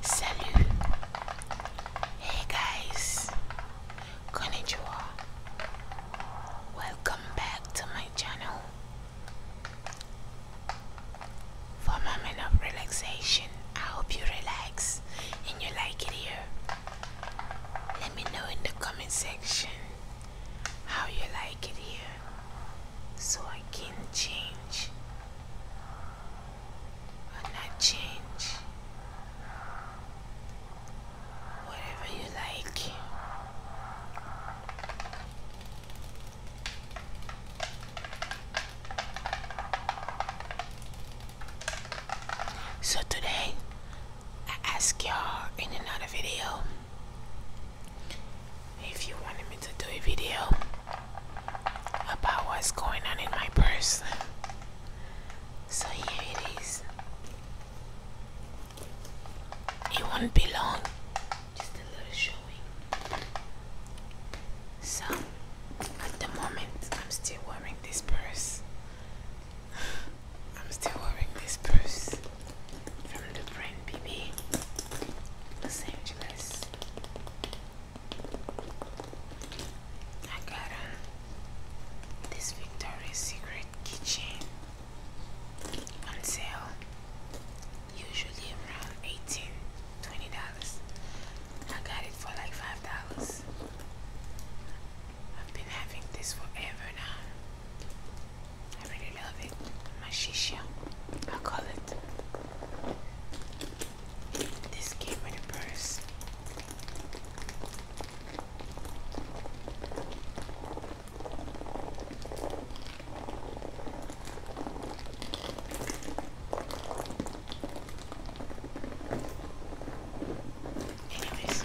Salut. Hey guys. Konnichiwa. Welcome back to my channel. For a moment of relaxation, I hope you relax and you like it here. Let me know in the comment section how you like it here so I can change and I change whatever you like. So today I ask y'all in another video if you wanted me to do a video about what's going on in my purse. So here it is. It won't be long, just a little showing. So at the moment, I'm still wearing this purse. I'm still wearing this purse from the BB Los Angeles. I got uh, this Victoria's Secret keychain on sale, usually around 18 dollars. I got it for like five dollars. I've been having this forever now. I really love it. My shisha, I call it. This came purse. Anyways,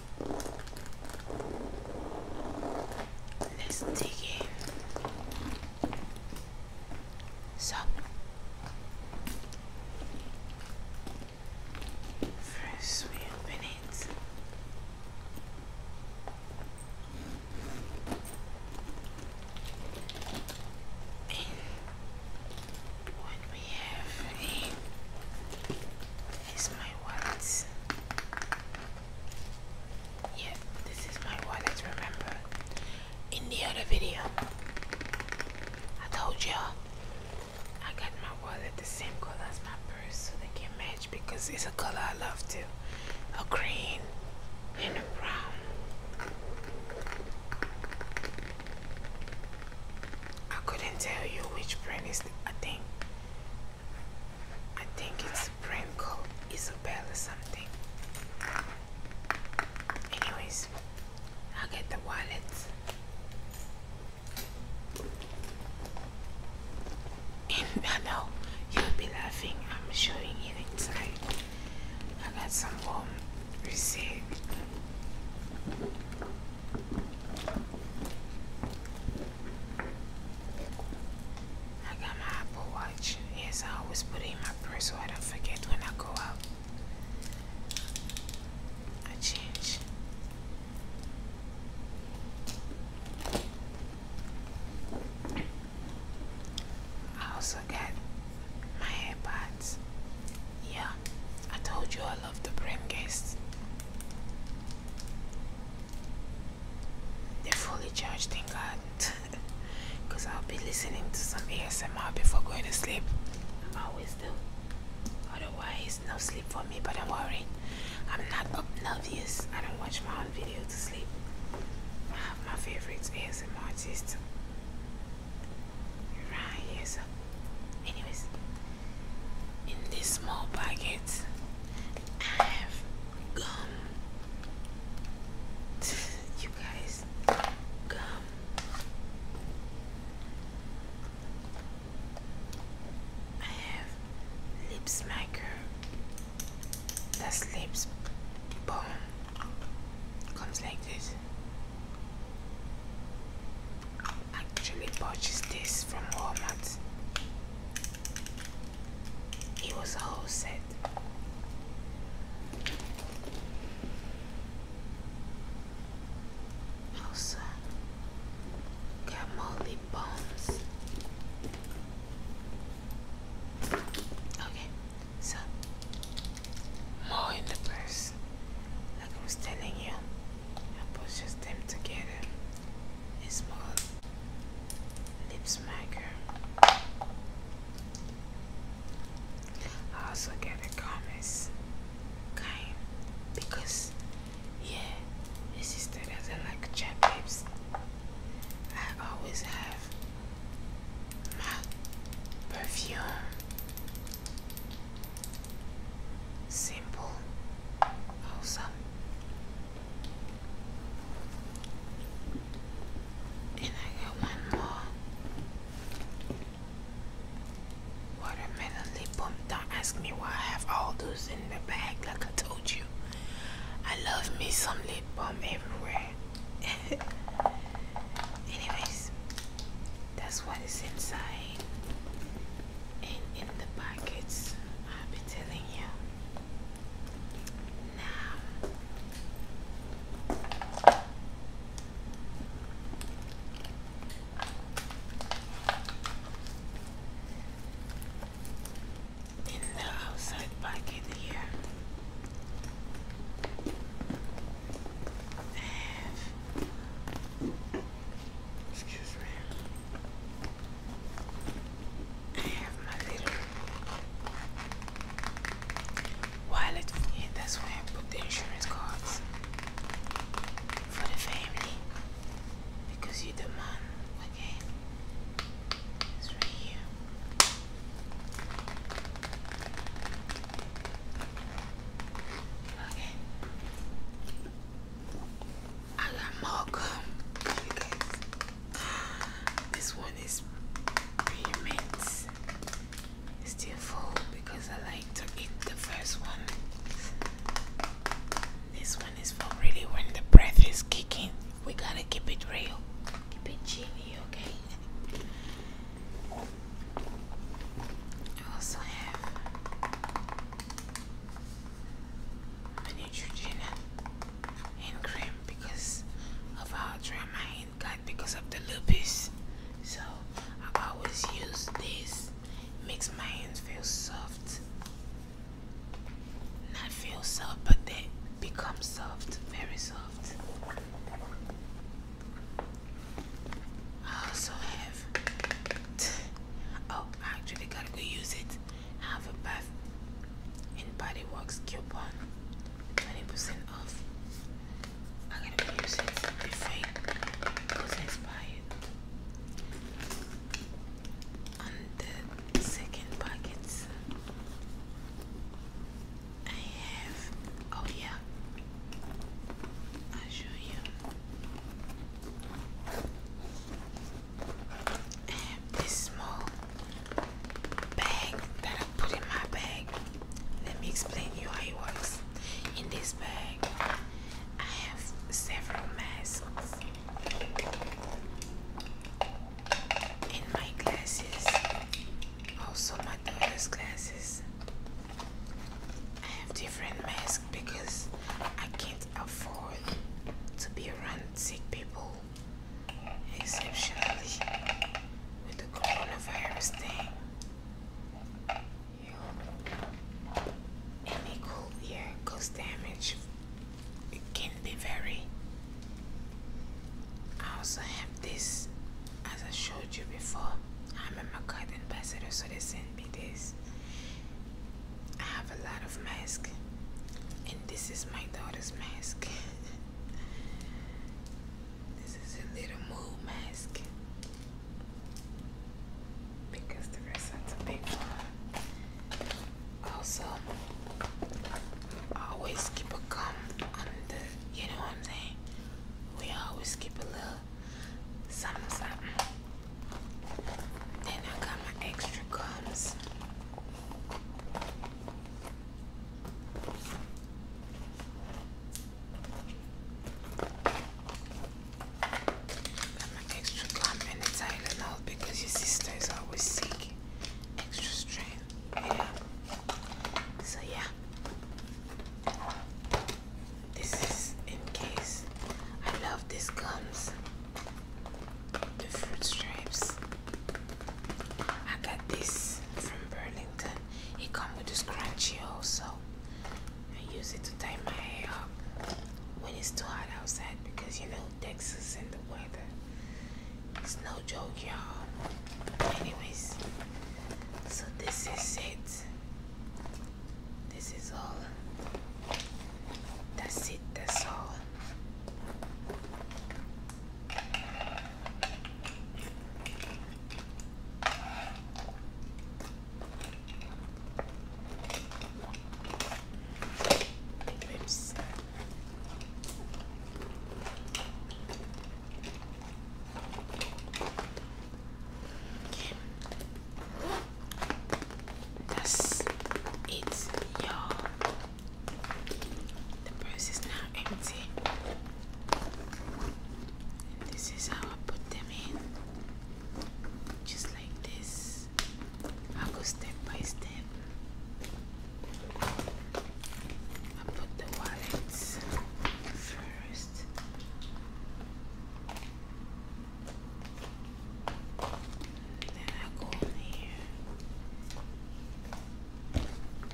Let's dig in. So, first we open it. And what we have in is my wallet. Yeah, this is my wallet, remember? In the other video, I told y'all I got my wallet the same color as my purse so they can match because it's a color I love too. A green and a brown. I couldn't tell you which brand is the, I think I think it's brand called Isabella something. Anyways, i get the wallet. And I know you'll be laughing, I'm showing it inside. I got some warm receipt. I got my Apple Watch. Yes, I always put it in my purse so I don't forget when I go out. I change. I also got my AirPods. Yeah, I told you I love the Brimcast. They're fully charged, thank God. Because I'll be listening to some ASMR before going to sleep. I always do. Otherwise, no sleep for me, but I'm worried. I'm not obnoxious. I don't watch my own video to sleep. I have my favorite ASMR artist. Right, anyways in this small packet I have gum you guys gum I have lip smacker that's lips bomb comes like this actually purchased this from Walmart. It was a whole set. Also, got more lip balms. Okay, so more in the purse. I was telling you and pushes them together. A small lip smacker. I also get a comments kind because yeah, his sister doesn't like chap lips. I always have my perfume Simple, awesome. And I got one more watermelon lip balm. Don't ask me why I have all those in the bag, like I told you. I love me some lip balm everywhere. Anyways, that's what is inside and in the pockets, I'll be telling you now in the outside packet here I Excuse me. I my little wallet here. That's where I put the insurance cards for the family. Because you're the man, okay? It's right here. Okay. I got more gum This one is pre-mint. Still full because I like to eat the first one. This one is for really when the breath is kicking. We gotta keep it real. Keep it chilly, okay? I also have a Neutrogena hand cream because of how dry my hand got because of the lupus. So I always use this. makes my hands feel soft. Not feel soft, but they become soft, very soft. I also have oh I actually gotta go use it. have a bath and coupon 20% off. I gotta use it before it goes On the second packet I have. Oh, yeah. I'll show you. I have this small bag that I put in my bag. Let me explain you how it works. In this bag, I have several masks and my glasses also, my daughter's glasses. I have different masks because I can't afford to be around sick people. Exceptionally, with the coronavirus thing. Any cold yeah, cause damage. can be very. I also have this as I showed you before, I'm a McCart ambassador, so they sent me this. I have a lot of masks, and this is my daughter's mask. this is a little mood mask because the rest are too big Also, always keep a gum on you know what I'm saying? We always keep a little something, something. Then I got my extra guns. Got my extra gum in the Tylenol because your sister is always sick. Extra strength. So yeah, this is in case. I love this gums, the fruit stripes. I got this from Burlington. It comes with a scrunchie also. I use it to tie my hair up when it's too hot outside because you know Texas and the weather it's no joke, y'all. Anyways, so this is it. This is all. That's it, that's all. Oops. That's it, y'all. The purse is now empty. this is how I put them in, just like this. I'll go step by step. I put the wallet first. Then I go in here. Put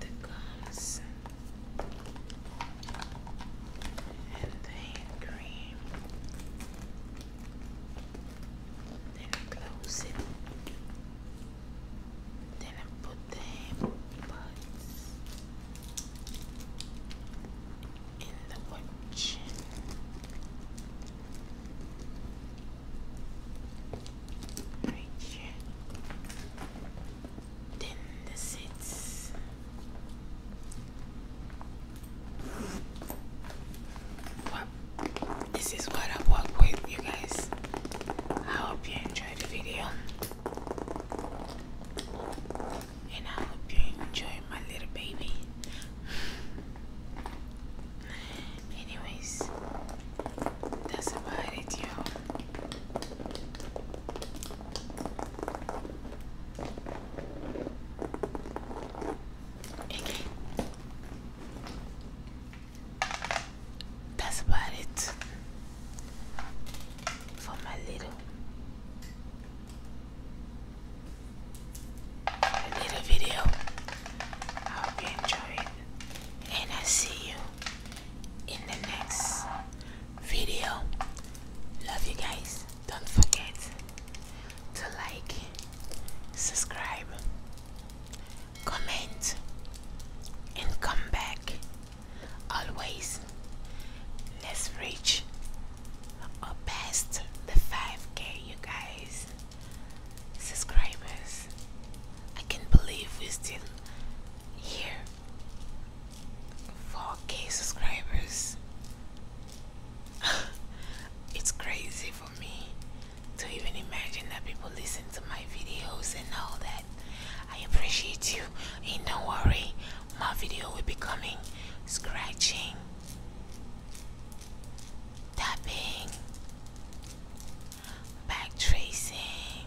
the guns and the then I close it. Then I put the buds in the watch. Right here. Then the seats. What? This is what I work with, you guys. I hope you enjoyed the video, and I hope you enjoy my little baby. Anyways, that's about it, y'all. Okay. That's about it for my little little video. I hope you enjoy and I see you in the next video. Love you guys. Don't forget to like, subscribe, comment, and come back. Always, let's reach or past the 5k, you guys. Subscribers, I can't believe we're still here 4k subscribers it's crazy for me to even imagine that people listen to my videos and all that i appreciate you and don't worry my video will be coming scratching tapping back tracing